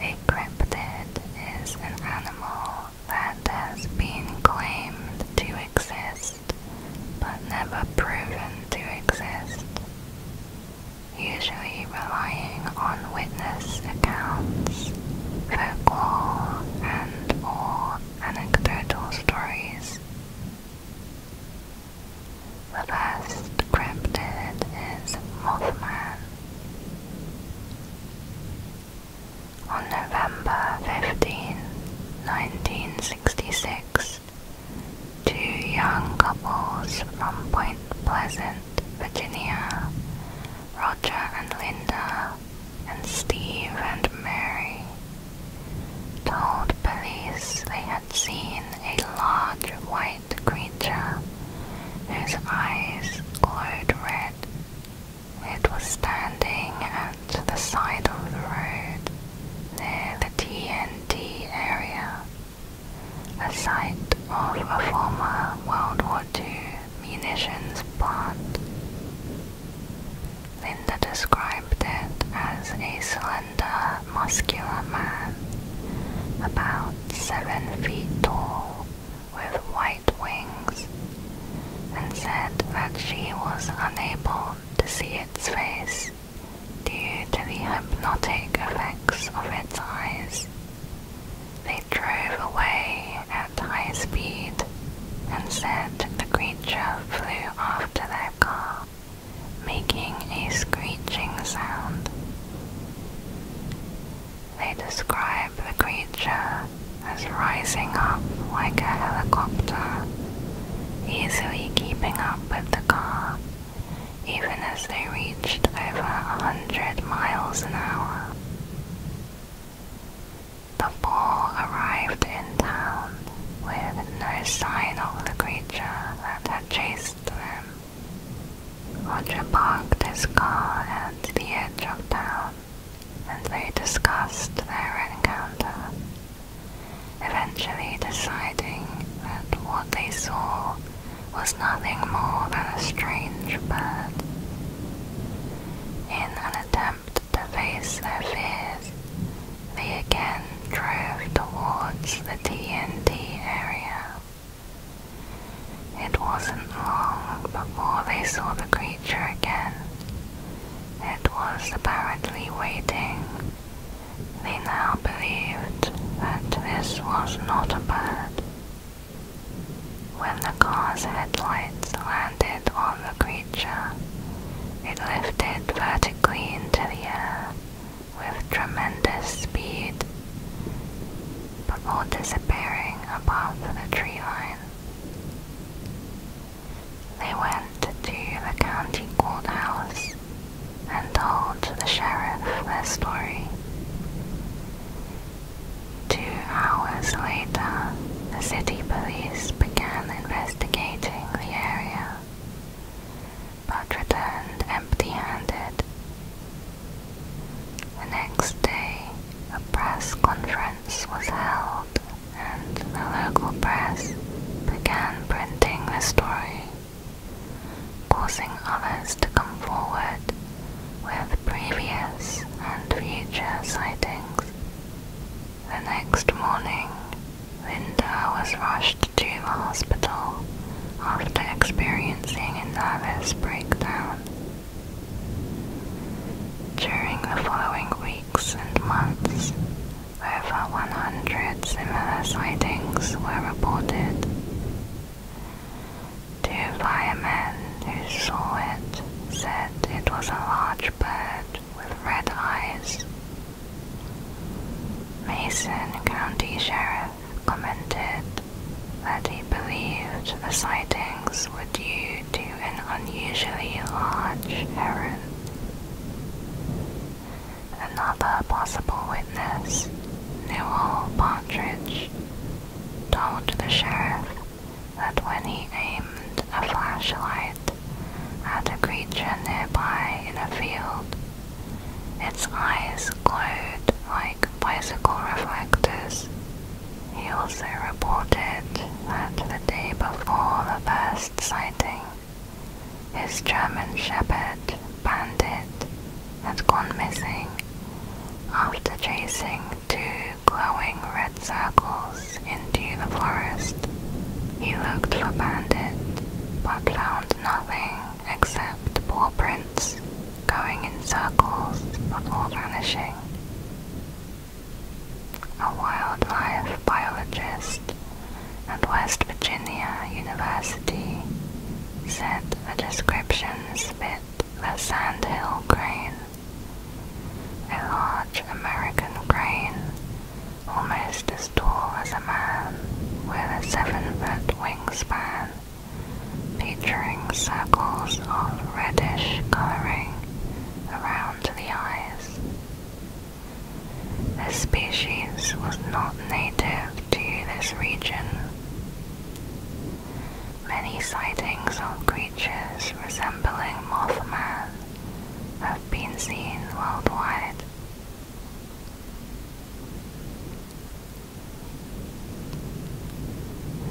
A cryptid is an animal that has been claimed to exist but never proven to exist, usually relying on witness accounts, folklore, and or anecdotal stories. The first cryptid is Mothman, on November 15, 1966, two young couples from Point Pleasant, Virginia, Roger and Linda, and Steve and Mary, told police they had seen a large white the creature whose eyes glowed red. It was standing at the side of the road near the TNT area, a site of a former World War II munitions plant. Linda described it as a slender, muscular man, about seven feet tall, with white wings and said that she was unable to see its face due to the hypnotic effects of its eyes. They drove away at high speed and said the creature flew after their car, making a screeching sound. They describe the creature as rising up like a helicopter, easily keeping up with the car, even as they reached over a hundred miles an hour. The ball arrived in town with no sign of the creature that had chased them. Roger parked his car at the edge of town, and they discussed their encounter, eventually deciding that what they saw was nothing more than a strange bird. In an attempt to face their fears, they again drove towards the TNT area. It wasn't long before they saw the creature again. It was apparently waiting. They now believed that this was not a bird. When the car's headlights landed on the creature, it lifted vertically into the air with tremendous speed before disappearing above the tree line, They went to the county courthouse and told the sheriff their story. Two hours later, the city police began investigating the area, but returned empty handed the next day, a press conference was held, and the local press began printing the story, causing others to come forward with previous and future sightings. The next morning, Linda was rushed to the hospital after experiencing a nervous breakdown. During the following weeks and months, over 100 similar sightings were reported. Two firemen who saw it said it was a large bird with red eyes. Mason County Sheriff commented that he believed the sightings were due to an unusually large heron. Another possible witness, Newell Partridge, told the sheriff that when he aimed a flashlight at a creature nearby in a field, its eyes glowed like bicycle reflectors. He also reported that the day before the first sighting, his German shepherd, Bandit, had gone missing after chasing two glowing red circles into the forest. He looked for Bandit, but found nothing except paw prints going in circles before vanishing. A wildlife biologist at West Virginia University said the descriptions fit the sandhill crane, a large American crane almost as tall as a man with a seven-foot wingspan featuring circles of reddish coloring around the eyes. This species was not native to this region. Many sightings of creatures resembling Mothman have been seen worldwide.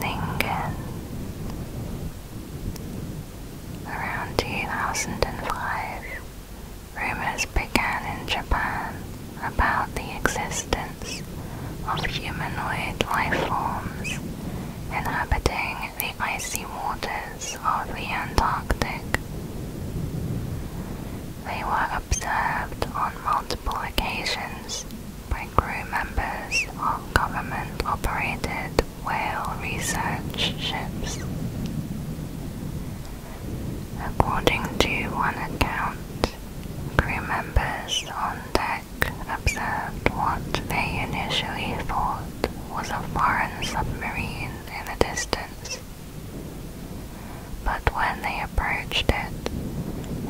Lingen. Around 2005, rumors began in Japan about the existence of humanoid life forms inhabiting the icy waters of the Antarctic. They were observed on multiple occasions by crew members of government-operated whale research ships. According to one account, crew members on deck observed what they initially thought was a foreign submarine in the distance, but when they approached it,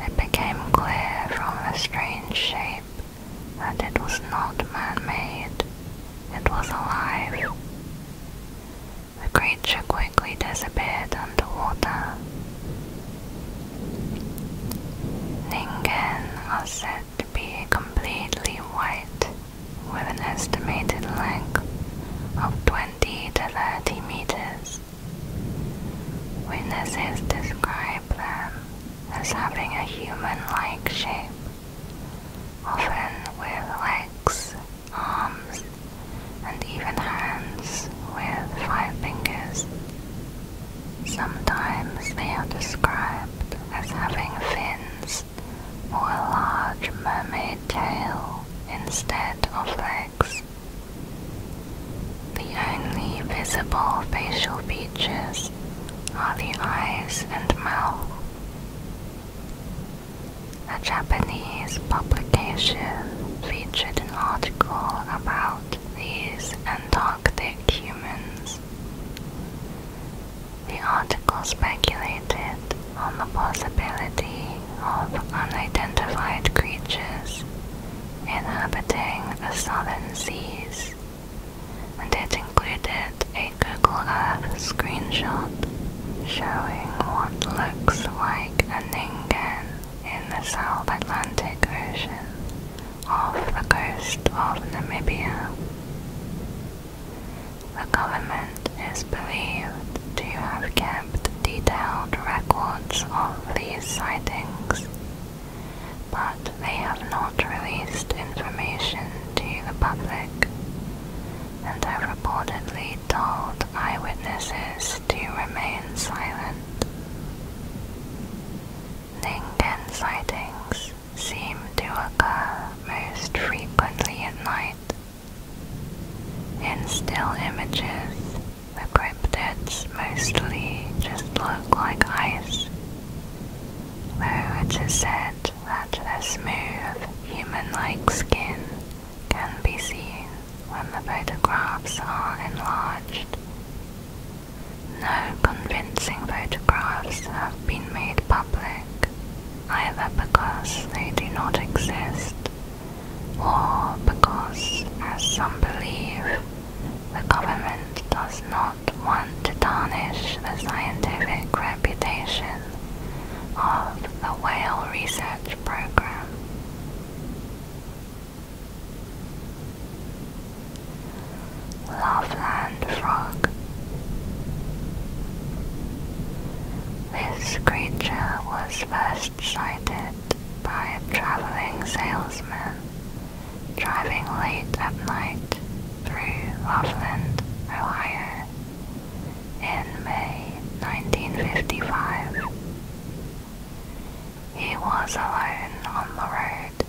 it became clear from the strange shape that it was not man-made. It was alive. The creature quickly disappeared underwater. Ningen are said to be completely white, with an estimated length of 20 to 30 meters. Witnesses describe them as having a human-like shape, often with legs, arms, and even hands with five fingers. Sometimes they are described as having fins or a large mermaid tail instead of legs. The only visible facial features are the eyes and mouth. A Japanese publication featured an article about these Antarctic humans. The article speculated on the possibility of unidentified creatures inhabiting the southern seas, and it included a Google Earth screenshot showing what looks like a ningen in the South Atlantic Ocean off the coast of Namibia. The government is believed to have kept detailed records of these sightings, but they have not released information to the public and have reportedly told eyewitnesses to remain silent. Ningen sightings seem to occur most frequently at night. In still images, the cryptids mostly just look like ice, though it is said that their smooth, human-like skin can be seen when the photographs are enlarged. No convincing photographs have been made public, either because they do not exist or because, as some believe, the government does not want to tarnish the scientific reputation of the whale research program. Loveland frog. This creature was first sighted by a traveling salesman driving late at night through Loveland, Ohio in May 1955. He was alone on the road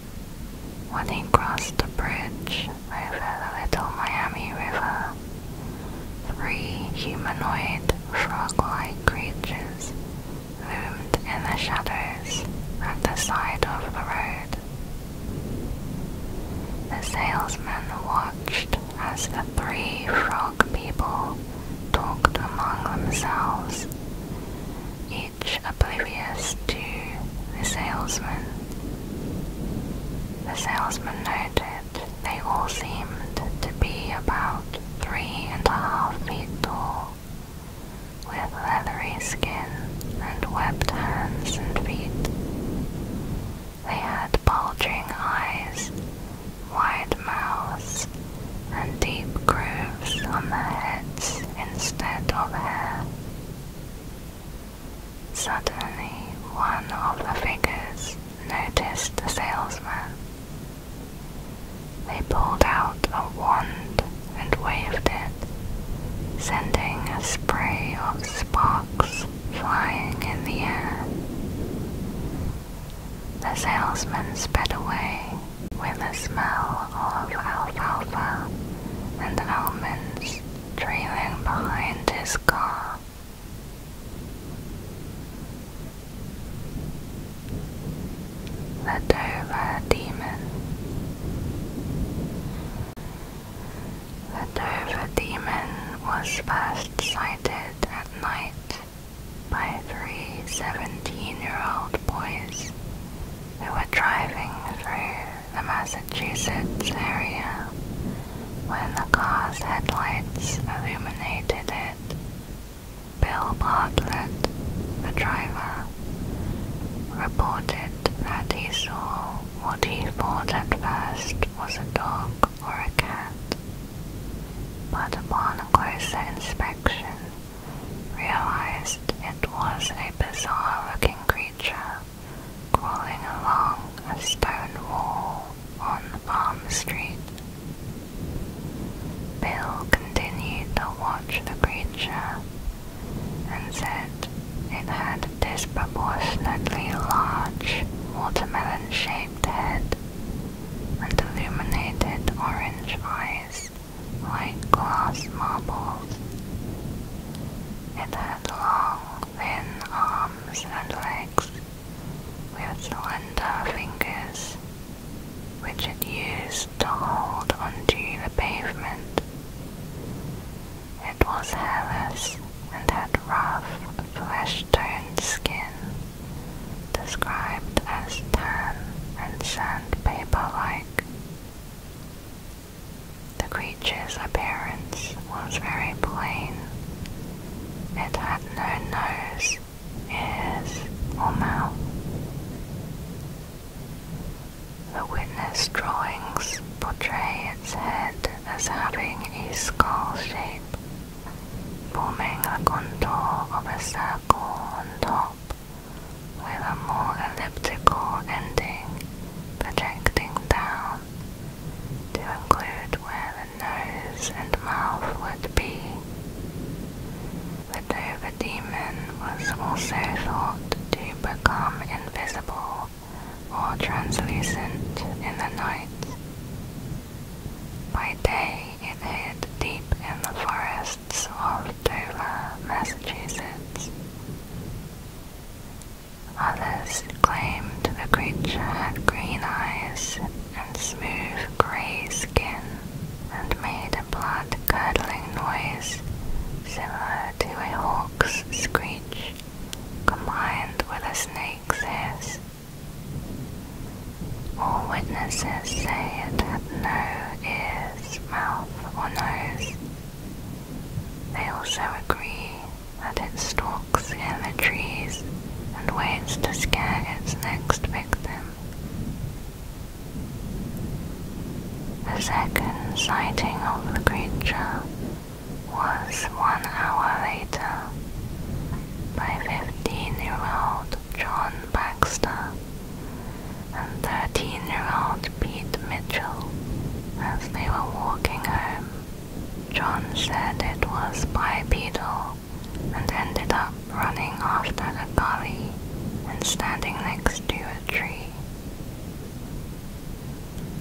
when he crossed a bridge over the Little Miami River. Three humanoid frog-like creatures loomed in the shadows at the side of the road. The salesman watched as the three frog people talked among themselves, each oblivious to the salesman. The salesman noted they all seemed to be about three and a half feet tall, with leathery skin and webbed hands and feet. They had bulging eyes, wide mouths, and deep grooves on their heads instead of hair. Suddenly, one of the figures noticed the salesman they pulled out a wand and waved it, sending a spray of sparks flying in the air. The salesman sped away with a smell of alfalfa and almonds trailing behind his car. The Dover Demon. The Dover Demon was first sighted at night by three 17-year-old boys who were driving through the Massachusetts area when the car's headlights illuminated it Bill Bartlett, the driver, reported that he saw what he thought at first was a dog or a cat, but upon closer inspection realized it was a bizarre-looking creature crawling along a stone wall on Palm Street. Bill continued to watch the creature and said it had a disproportionately large watermelon-shaped head and illuminated orange eyes like glass marbles. It had long, thin arms and legs we would surrender our fingers, which it used to hold onto the pavement. It was hairless and had rough, flesh-toned skin, described as tan and sandpaper-like. The creature's appearance was very plain. It had no nose is or mouth. The witness drawings portray its head as having a skull shape, forming a contour of a circle on top, with a more elliptical ending projecting down to include where the nose and mouth would be. The demon was also thought to become invisible or translucent in the night. By day, it hid deep in the forests of Dover, Massachusetts. Others claimed the creature had green eyes and smooth grey skin and made a blood-curdling noise similar to a hawk's screech combined with a snake's hiss. All witnesses say it had no ears, mouth, or nose. They also agree that it stalks in the trees and waits to scare its next victim. The second sighting of the creature was one hour later by 15-year-old John Baxter and 13-year-old Pete Mitchell as they were walking home. John said it was bipedal and ended up running after a gully and standing next to a tree.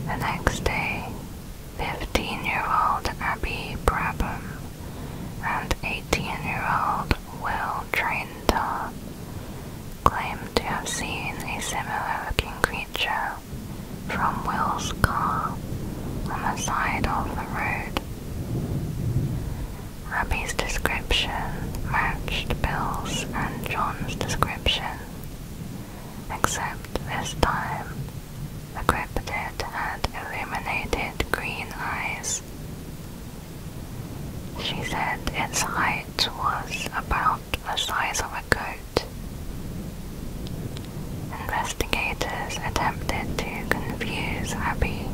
The next day, 15-year-old Abby Brabham and 18-year-old Will Traintar claimed to have seen a similar-looking creature from Will's car on the side of the road Robbie's description matched Bill's and John's description, except this time the cryptid had illuminated green eyes. She said its height was about the size of a goat. Investigators attempted to confuse Abby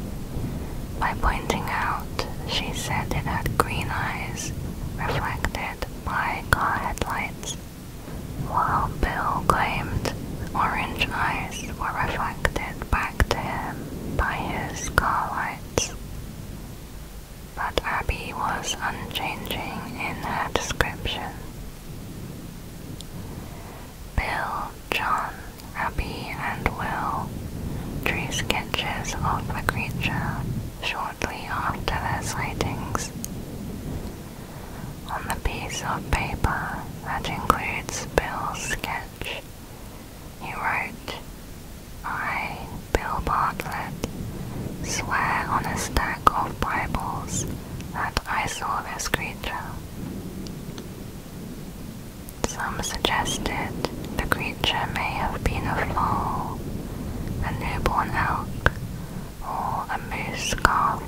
by pointing out she said it had green eyes reflected by car headlights, while Bill claimed orange eyes were reflected back to him by his car lights. But Abby was unchanging in her description. Bill, John, Abby, and Will Three sketches of the creature shortly after their sightings. On the piece of paper that includes Bill's sketch, he wrote, I, Bill Bartlett, swear on a stack of Bibles that I saw this creature. Some suggested the creature may have been a foal, a newborn elk, or a moose calf.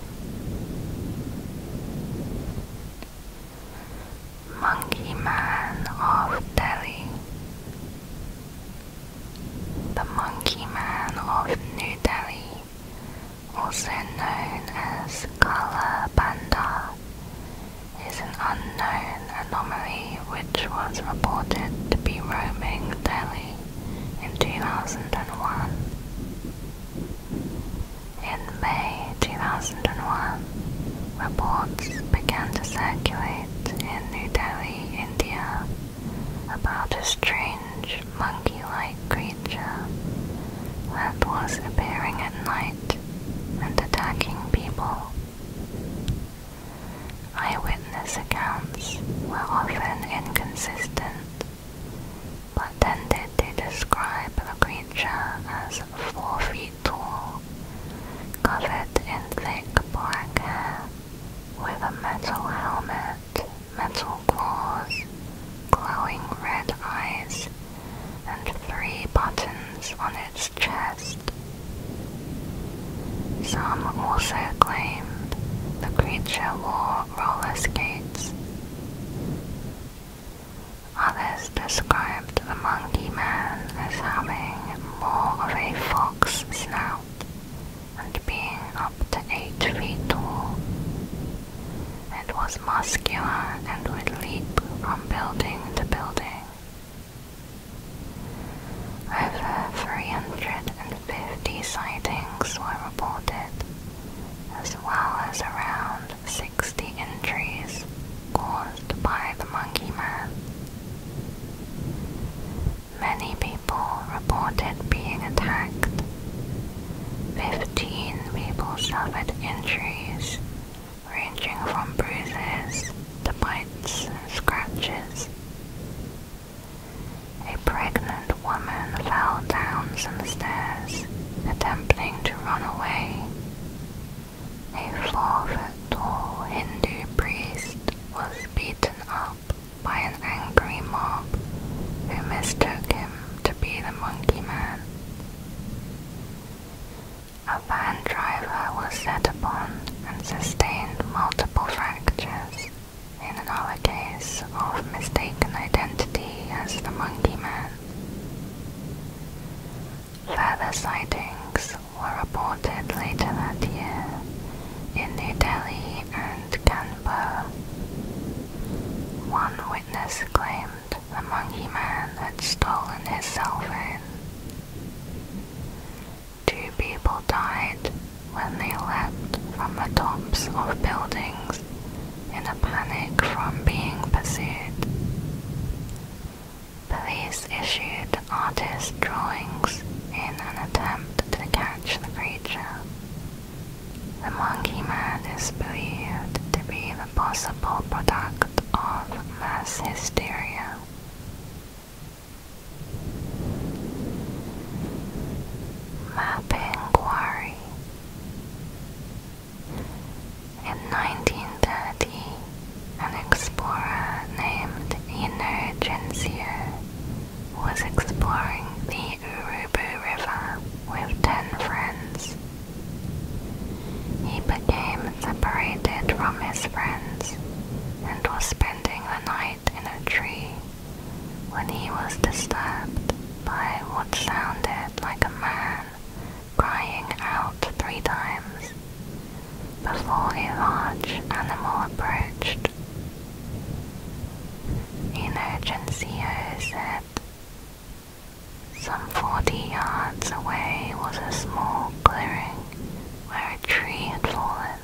Monkey Man of Delhi. The Monkey Man of New Delhi also known as Kala Bandar, is an unknown anomaly which was reported to be roaming Delhi in 2001. In May 2001, reports began to circulate in New Delhi, India, about a strange monkey-like creature that was appearing at night and attacking people. Eyewitness accounts were often inconsistent, but tended to describe the creature as four feet tall, covered in thick black hair, with a metal helmet metal claws, glowing red eyes, and three buttons on its chest. Some also claimed the creature wore roller skates. Others described the monkey man as having more of a fox snout and being up to 8 feet tall. It was muscular and would leap from building to building. Over 350 sightings were reported, as well as around 60 injuries caused by the monkey man. Many people reported being attacked, Fifteen people suffered injuries, ranging from bruises to bites and scratches. A pregnant woman fell down some stairs, attempting to run away. A four-foot-tall Hindu priest was beaten up by an angry mob who mistook him to be the monkey man. A van driver was set upon and sustained multiple fractures in another case of mistaken identity as the monkey man. Further sightings were reported later that year in New Delhi and Kanpur. One this claimed a monkey man had stolen his cell phone. Two people died when they leapt from the tops of buildings in a panic from being pursued. Police issued artist drawings in an attempt to catch the creature. The monkey man is believed to be the possible product of mass hysteria. Mapping In 1930, an explorer named Eno was exploring the Gurubu River with ten friends. He became separated from his friends and was spending the night in a tree when he was disturbed by what sounded like a man crying out three times before a large animal approached. Inocencio said, some forty yards away was a small clearing where a tree had fallen,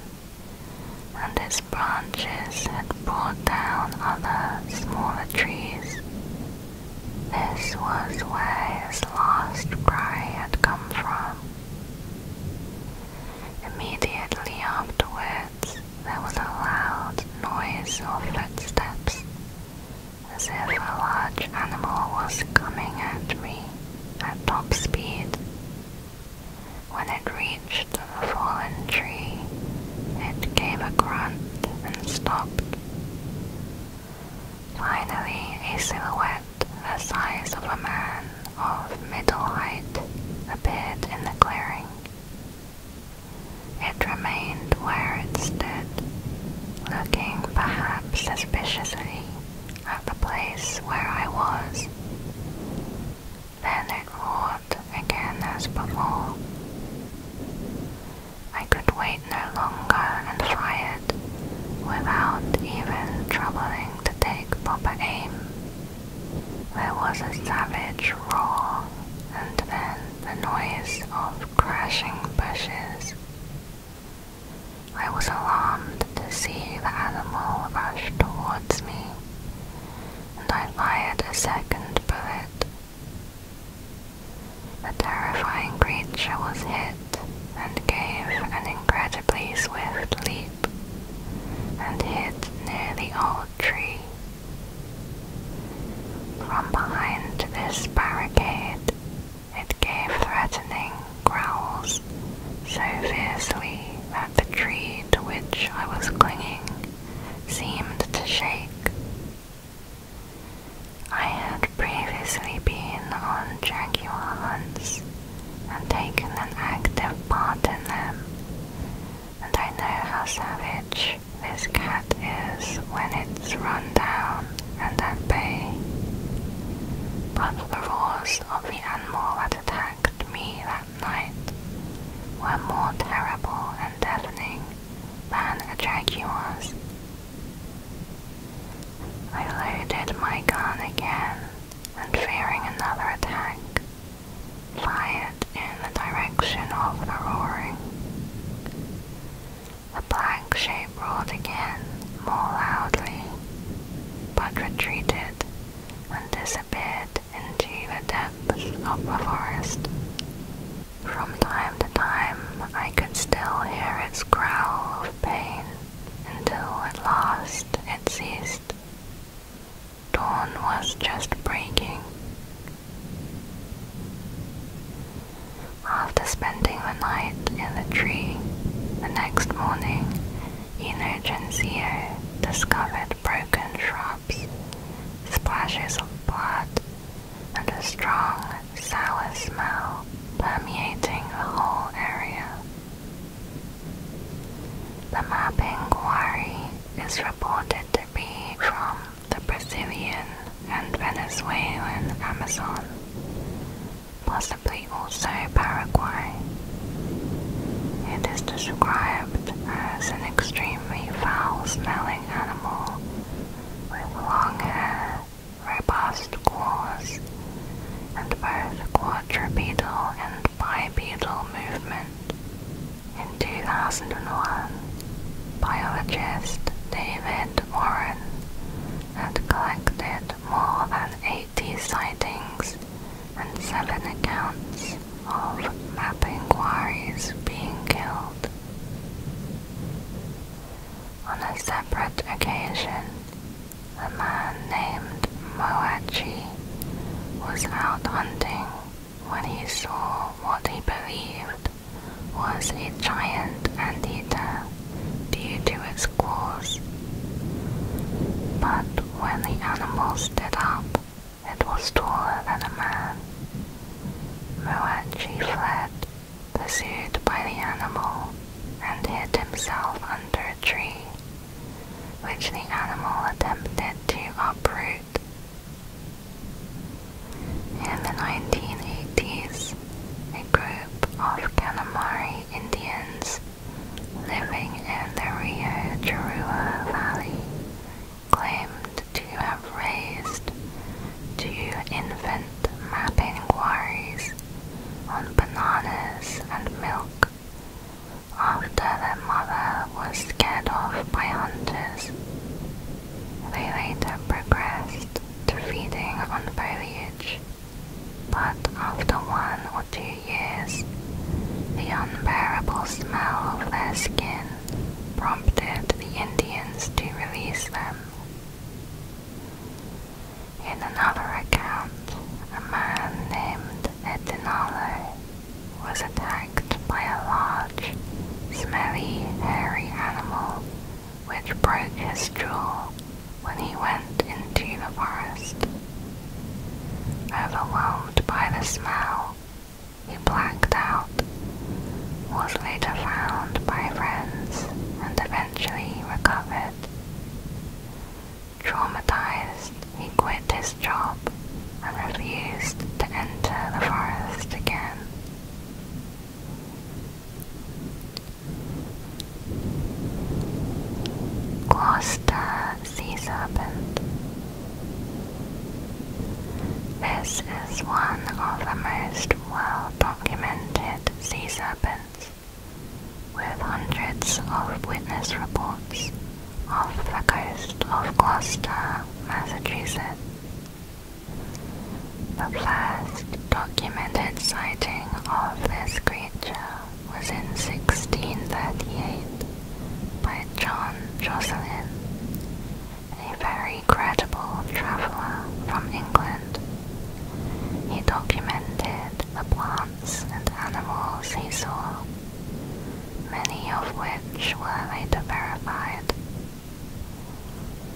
and its branches had brought down other smaller trees. This was where his last cry had come from. Immediately afterward, there was a loud noise of footsteps, as if a large animal was coming at me at top speed. When it reached the fallen tree, it gave a grunt and stopped. Finally, a silhouette the size of a man of middle height appeared in the clearing. It remained where it stood, looking perhaps suspiciously at the place where I was. Then it roared again as before. I could wait no longer and fry it without even troubling to take proper aim. There was a savage roar, and then the noise of crashing bushes. I was alarmed to see the animal rush towards me, and I fired a second bullet. The terrifying creature was hit and gave an incredibly swift leap and hit near the old tree from behind this barricade, it gave threatening growls so fiercely that the tree to which I was clinging seemed to shake. I had previously been on jaguar hunts and taken an active part in them, and I know how savage this cat is when it's run down and at bay. But the roars of the animal that attacked me that night were more terrible and deafening than a jaguar's. I loaded my gun again, and fearing another attack, fired in the direction of the roaring. The black shape roared again, more loudly, but retreated and disappeared into the depths of the forest. From time to time, I could still hear its growl of pain until at last it ceased. Dawn was just breaking. After spending the night in the tree, the next morning, Eno Genzio discovered broken shrubs, splashes of blood, and a strong, sour smell permeating the whole area. The mapping quarry is reported to be from the Brazilian and Venezuelan Amazon, possibly also Paraguay. It is described as an extremely foul-smelling animal with long hair, robust claws, and both quadrupedal and bipedal movement. In 2001, biologist David Warren had collected more than 80 sightings and seven accounts of mapping quarries being killed. On a separate occasion, a man named Moachi was out hunting when he saw what he believed was a giant anteater due to its claws. But when the animal stood up, it was taller than a man. Moachi fled, pursued by the animal, and hid himself under a tree, which the animal attempted to uproot in the 1980s, a group of Kanamari Indians living in the Rio Churua Valley claimed to have raised two infant mapping quarries on bananas and milk after their mother was scared off by hunters. They later progressed to feeding on foliage, but after one or two years, the unbearable smell of their skin prompted the Indians to release them. In another account, a man named Etinalo was attacked by a large, smelly, hairy animal which broke his jaw when he went into the forest. Overwhelmed by the smell, he blacked out, was later found by friends, and eventually recovered. Traumatized, he quit his job I and refused to enter the forest again. Gloucester Sea Serpent. This is one of the most well documented sea serpents, with hundreds of witness reports off the coast of Gloucester, Massachusetts. The first documented sighting of this creature was in 1638 by John Jocelyn, a very credible traveller from England. He documented the plants and animals he saw many of which were later verified.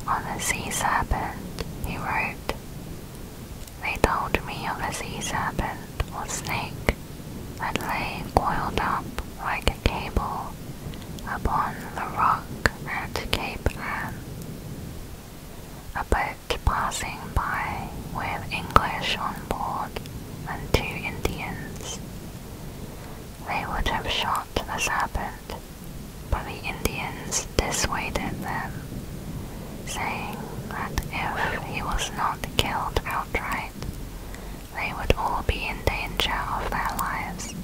On the sea serpent, he wrote, They told me of a sea serpent or snake that lay coiled up like a cable upon the rock at Cape Ann. A boat passing by with English on board and two Indians. They would have shot the serpent, but the Indians dissuaded them, saying that if he was not killed outright, they would all be in danger of their lives.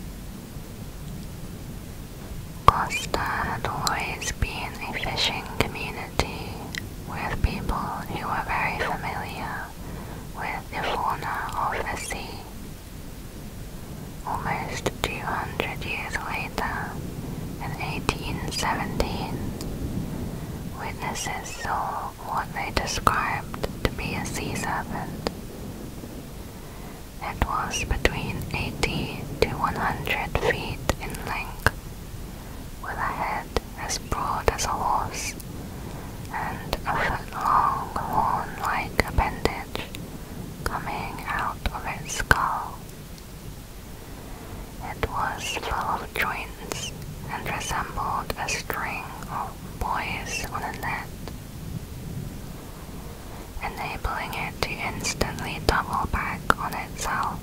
Costa had always been a fishing community with people who were very familiar with the fauna of the sea. Almost 200 years later, in 1817, witnesses saw what they described to be a sea serpent. It was between 80 to 100 feet in length, with a head as broad as a horse and a foot-long horn-like appendage coming out of its skull. It was full of joints and resembled a string of boys on a net, enabling it to instantly double back on itself.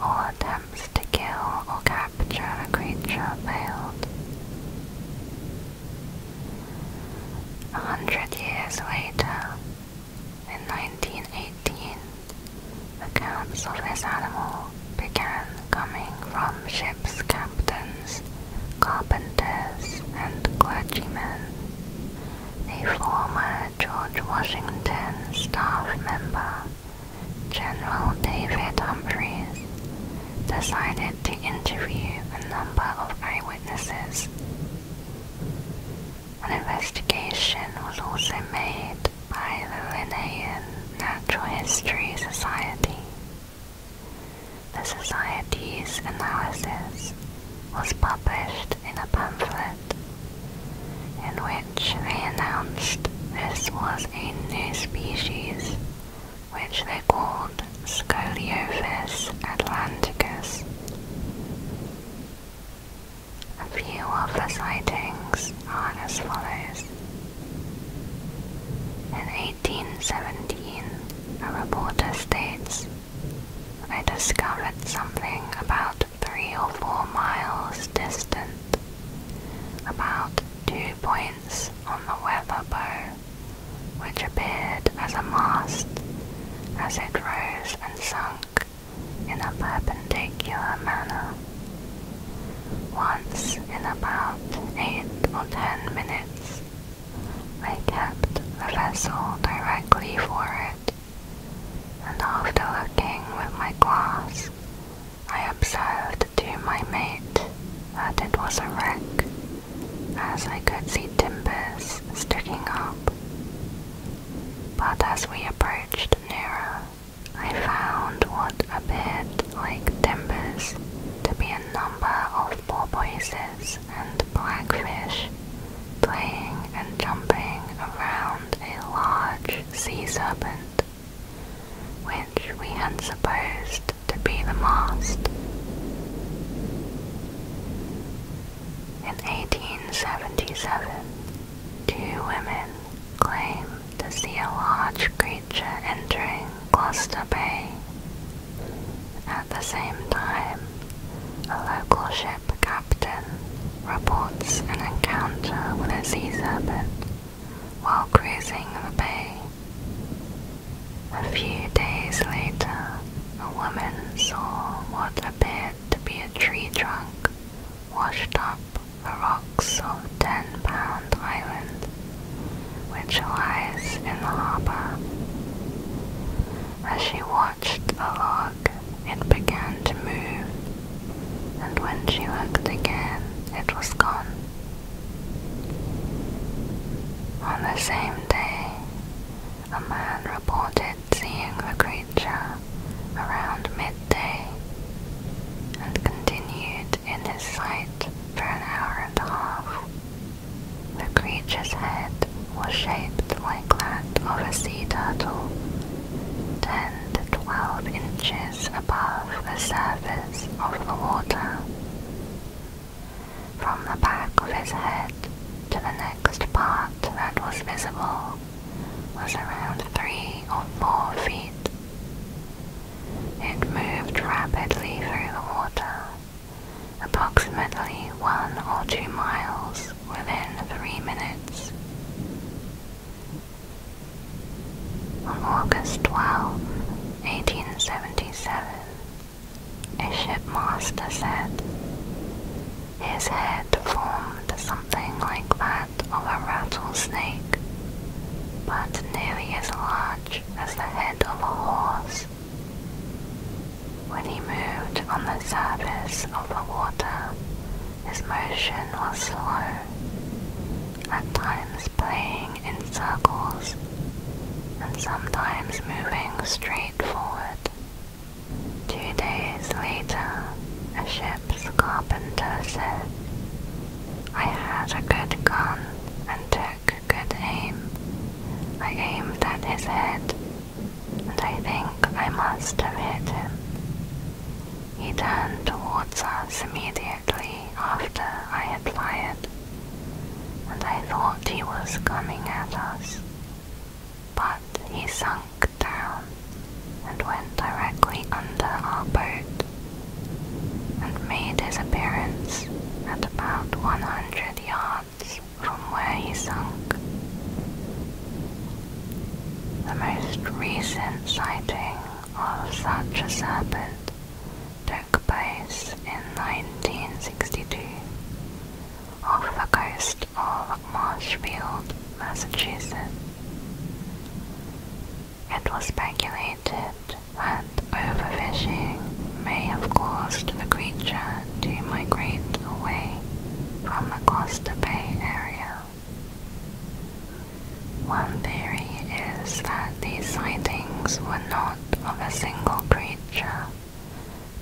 All attempts to kill or capture capture a creature failed. A hundred years later, in 1918, accounts of this animal began coming from ships' captains, carpenters, and clergymen. A former George Washington staff member General David Humphreys decided to interview a number of eyewitnesses. An investigation was also made by the Linnaean Natural History Society. The Society's analysis was published in a pamphlet in which they announced this was a new species, which they called Scoliophis atlanticus. A few of the sightings are as follows. In 1817, a reporter states, I discovered something about three or four miles distant, about two points on the weather bow, which appeared as a mast as it rose and sunk in a perpendicular manner. Once in about eight or ten minutes, I kept the vessel directly for it, and after looking with my glass I observed to my mate that it was a wreck, as I could see timbers sticking up. But as we approached nearer, I found what appeared like timbers to be a number of porpoises and blackfish playing and jumping around a large sea serpent which we had supposed to be the mast. In 1877, two women claim to see a large creature entering Gloucester Bay. At the same time, a local ship captain reports an encounter with a sea serpent while cruising the bay. A few days later, a woman saw what appeared to be a tree trunk washed up the rocks of Ten Pound Island, which lies in the harbour. As she watched the log, it began to move, and when she looked again, it was gone. On the same day, a man reported seeing the creature around midday and continued in his sight for an hour and a half. The creature's head was shaped like that of a sea turtle, 10 12 inches above the surface of the water. From the back of his head to the next part that was visible was around three or four feet. It moved rapidly through the water, approximately one or two miles within three minutes. On August twelfth, 1877, a shipmaster said, his head formed something like that of a rattlesnake, but nearly as large as the head of a horse. When he moved on the surface of the water, his motion was slow at times playing in circles and sometimes moving straight forward. Two days later, a ship's carpenter said, I had a good gun and took good aim. I aimed at his head, and I think I must have hit him. He turned towards us immediately after I had fired, and I thought he was coming at us. But he sunk down and went directly under our boat and made his appearance at about 100 yards from where he sunk. The most recent sighting of such a sabbath took place in 1962 off the coast of Marshfield, Massachusetts. It was speculated that overfishing may have caused the creature to migrate away from the Gloucester Bay area. One theory is that these sightings were not of a single creature,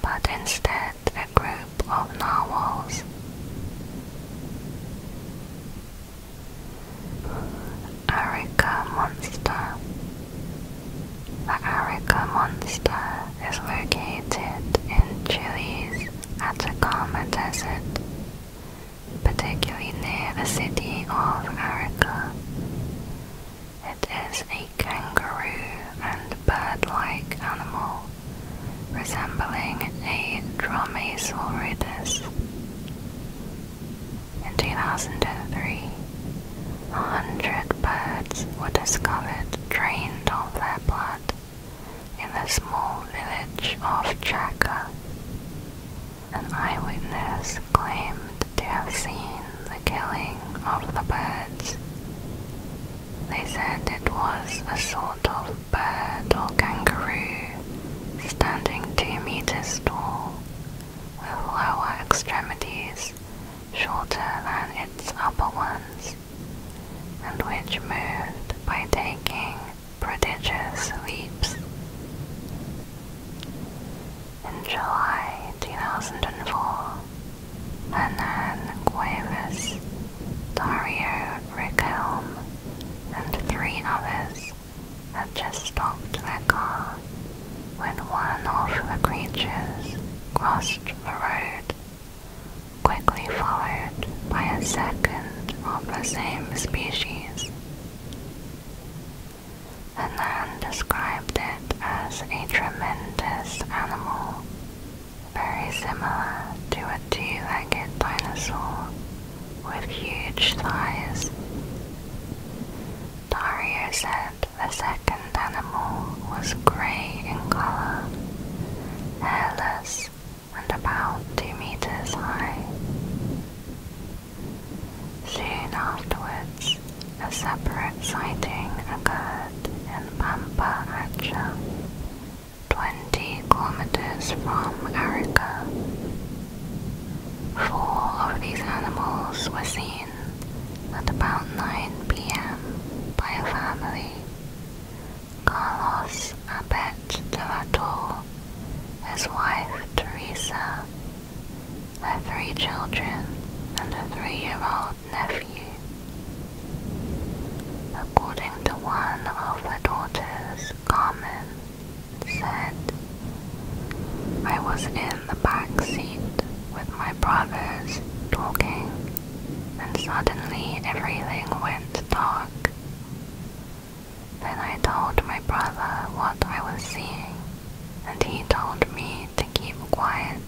but instead a group of narwhals. Arica Monster The Arica Monster is located in Chile's Atacama Desert particularly near the city of Arica. It is a kangaroo and bird-like animal, resembling a dromaeosaurus. In 2003, a hundred birds were discovered drained of their blood in the small village of Chaka. An eyewitness claimed to have seen the killing of the birds. They said it was a sort of bird or kangaroo standing two meters tall, with lower extremities shorter than its upper ones, and which moved by taking prodigious leaps. In July 2004, Hernan Cuevas, Dario Rickhelm, and three others had just stopped their car when one of the creatures crossed the road, quickly followed by a second of the same species. Anand described it as a tremendous animal, very similar to a two-legged dinosaur with huge thighs. Dario said the second animal was grey in colour, hairless and about 2 meters high. Soon afterwards, a separate sighting occurred in Pampa Acha, 20 kilometers from Arica. Four of these animals were seen at about 9 p.m. by a family. Carlos Abet de la his wife Teresa, their three children, and a three-year-old nephew. According to one of the daughters, Carmen, said, I was in the back seat with my brothers talking, and suddenly everything went dark. Then I told my brother what I was seeing, and he told me to keep quiet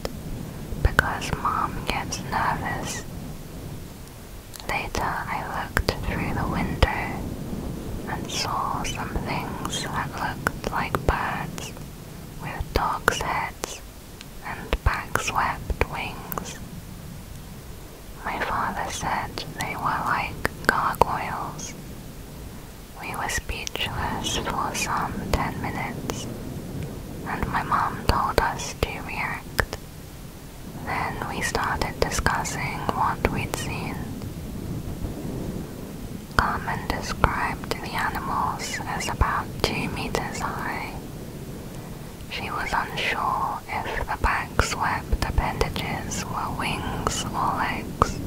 because mom gets nervous. Later, I looked through the window and saw some things that looked like birds with dogs' heads and back swept wings. My father said they were like gargoyles. We were speechless for some ten minutes, and my mom told us to react. Then we started discussing what we'd seen. Carmen described the animals as about two meters high. She was unsure if the back-swept appendages were wings or legs.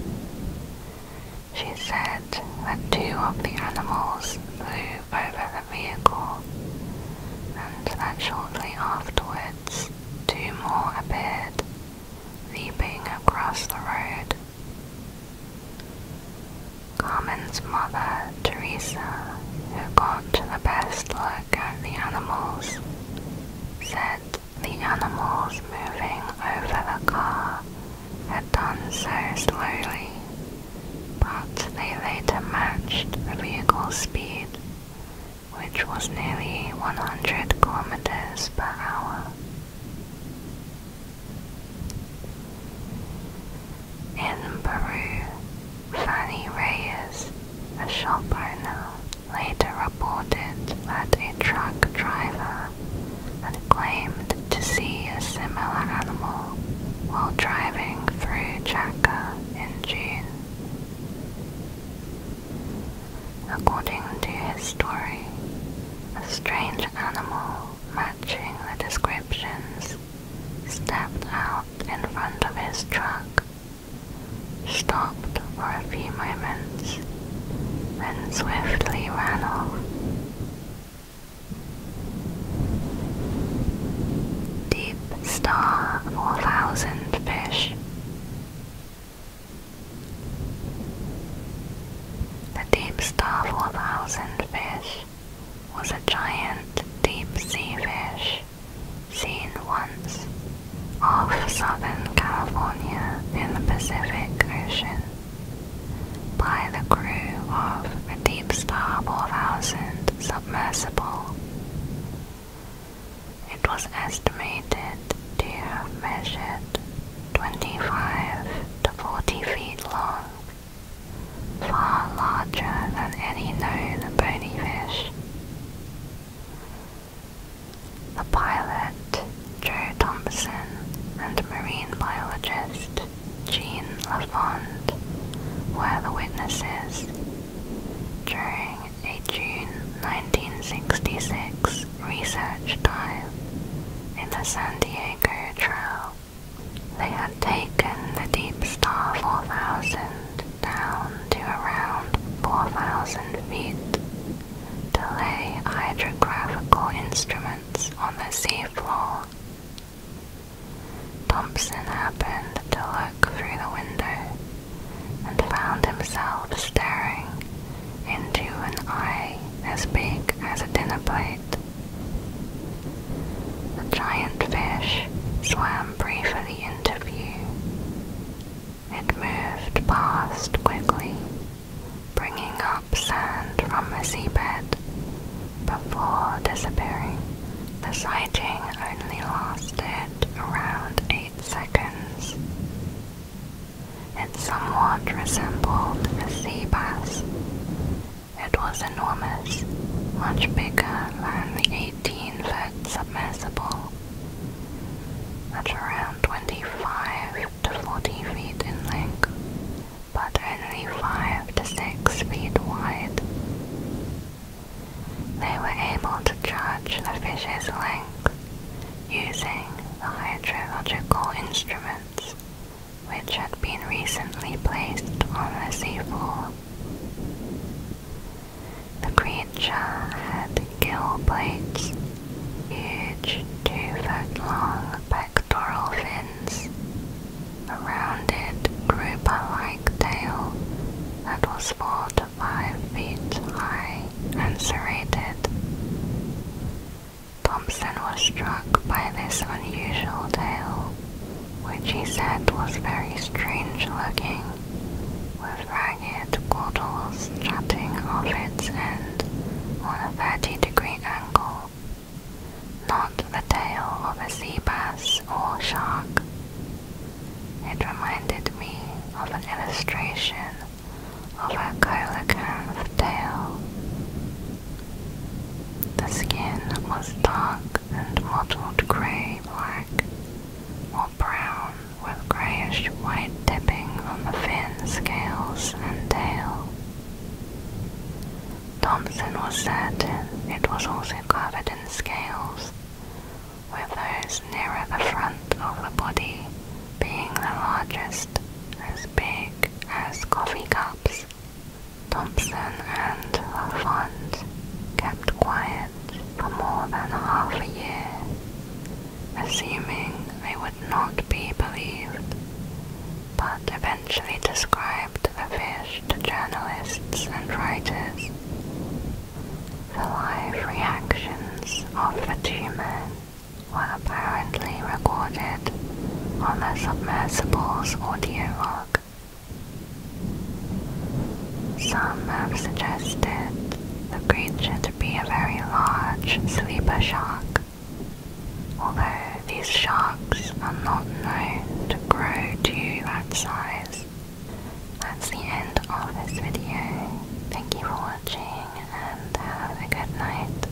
She said that two of the animals flew over the vehicle, and that shortly afterwards two more appeared, leaping across the road. Carmen's mother, Teresa, who got the best look at the animals, said the animals moving over the car had done so slowly, but they later matched the vehicle's speed, which was nearly 100 kilometers per hour. In Peru, Fanny Reyes, a shop owner, later reported that a truck driver had claimed to see a similar animal while driving through Chaka in June. According to his story, a strange animal matching the descriptions stepped out in front of his truck stopped for a few moments, then swiftly ran off. Deep Star 4000 Fish The Deep Star 4000 fish was a giant deep sea fish seen once off Southern California in the Pacific Ocean by the crew of a Deep Star 4000 submersible. It was estimated to have measured 25 to 40 feet long, far larger than any known bony fish. The pilot, Joe Thompson, and marine biologist Jean Lafond were the witnesses. During a June 1966 research dive in the San Diego Trail, they had taken the Deep Star 4000 down to around 4,000 feet to lay hydrographical instruments on the seafloor. Thompson happened to look through the window and found himself staring into an eye as big as a dinner plate. The giant fish swam briefly into view. It moved past quickly, bringing up sand from the seabed before disappearing. The sighting only lasted around 8 seconds. It somewhat resembled a sea bass. It was enormous, much bigger than the 18 foot submersible at around 25 to 40 feet in length, but only 5 to 6 feet wide. They were able to judge the fish's length using the hydrological instruments which had been recently placed on the seafloor. The creature had gill plates, huge two-foot-long pectoral fins, a rounded grouper-like tail that was four to five feet high and serrated. Thompson was struck by this unusual tail, which he said was very strange looking, with jagged caudals strutting off its end on a 30 degree angle, not the tail of a sea bass or shark. It reminded me of an illustration of a coelacanth tail. The skin was dark and mottled grey black or brown with greyish-white tipping on the fin scales and tail. Thompson was certain it was also covered in scales, with those nearer the front of the body being the largest, as big as coffee cups. Thompson and Lafont kept quiet for more than half a year, assuming they would not be believed, but eventually described the fish to journalists and writers. The live reactions of the two men were apparently recorded on the submersible's audio log. Some have suggested the creature to be a very large sleeper shark, although these sharks are not known to grow to that size. That's the end of this video. Thank you for watching and have a good night.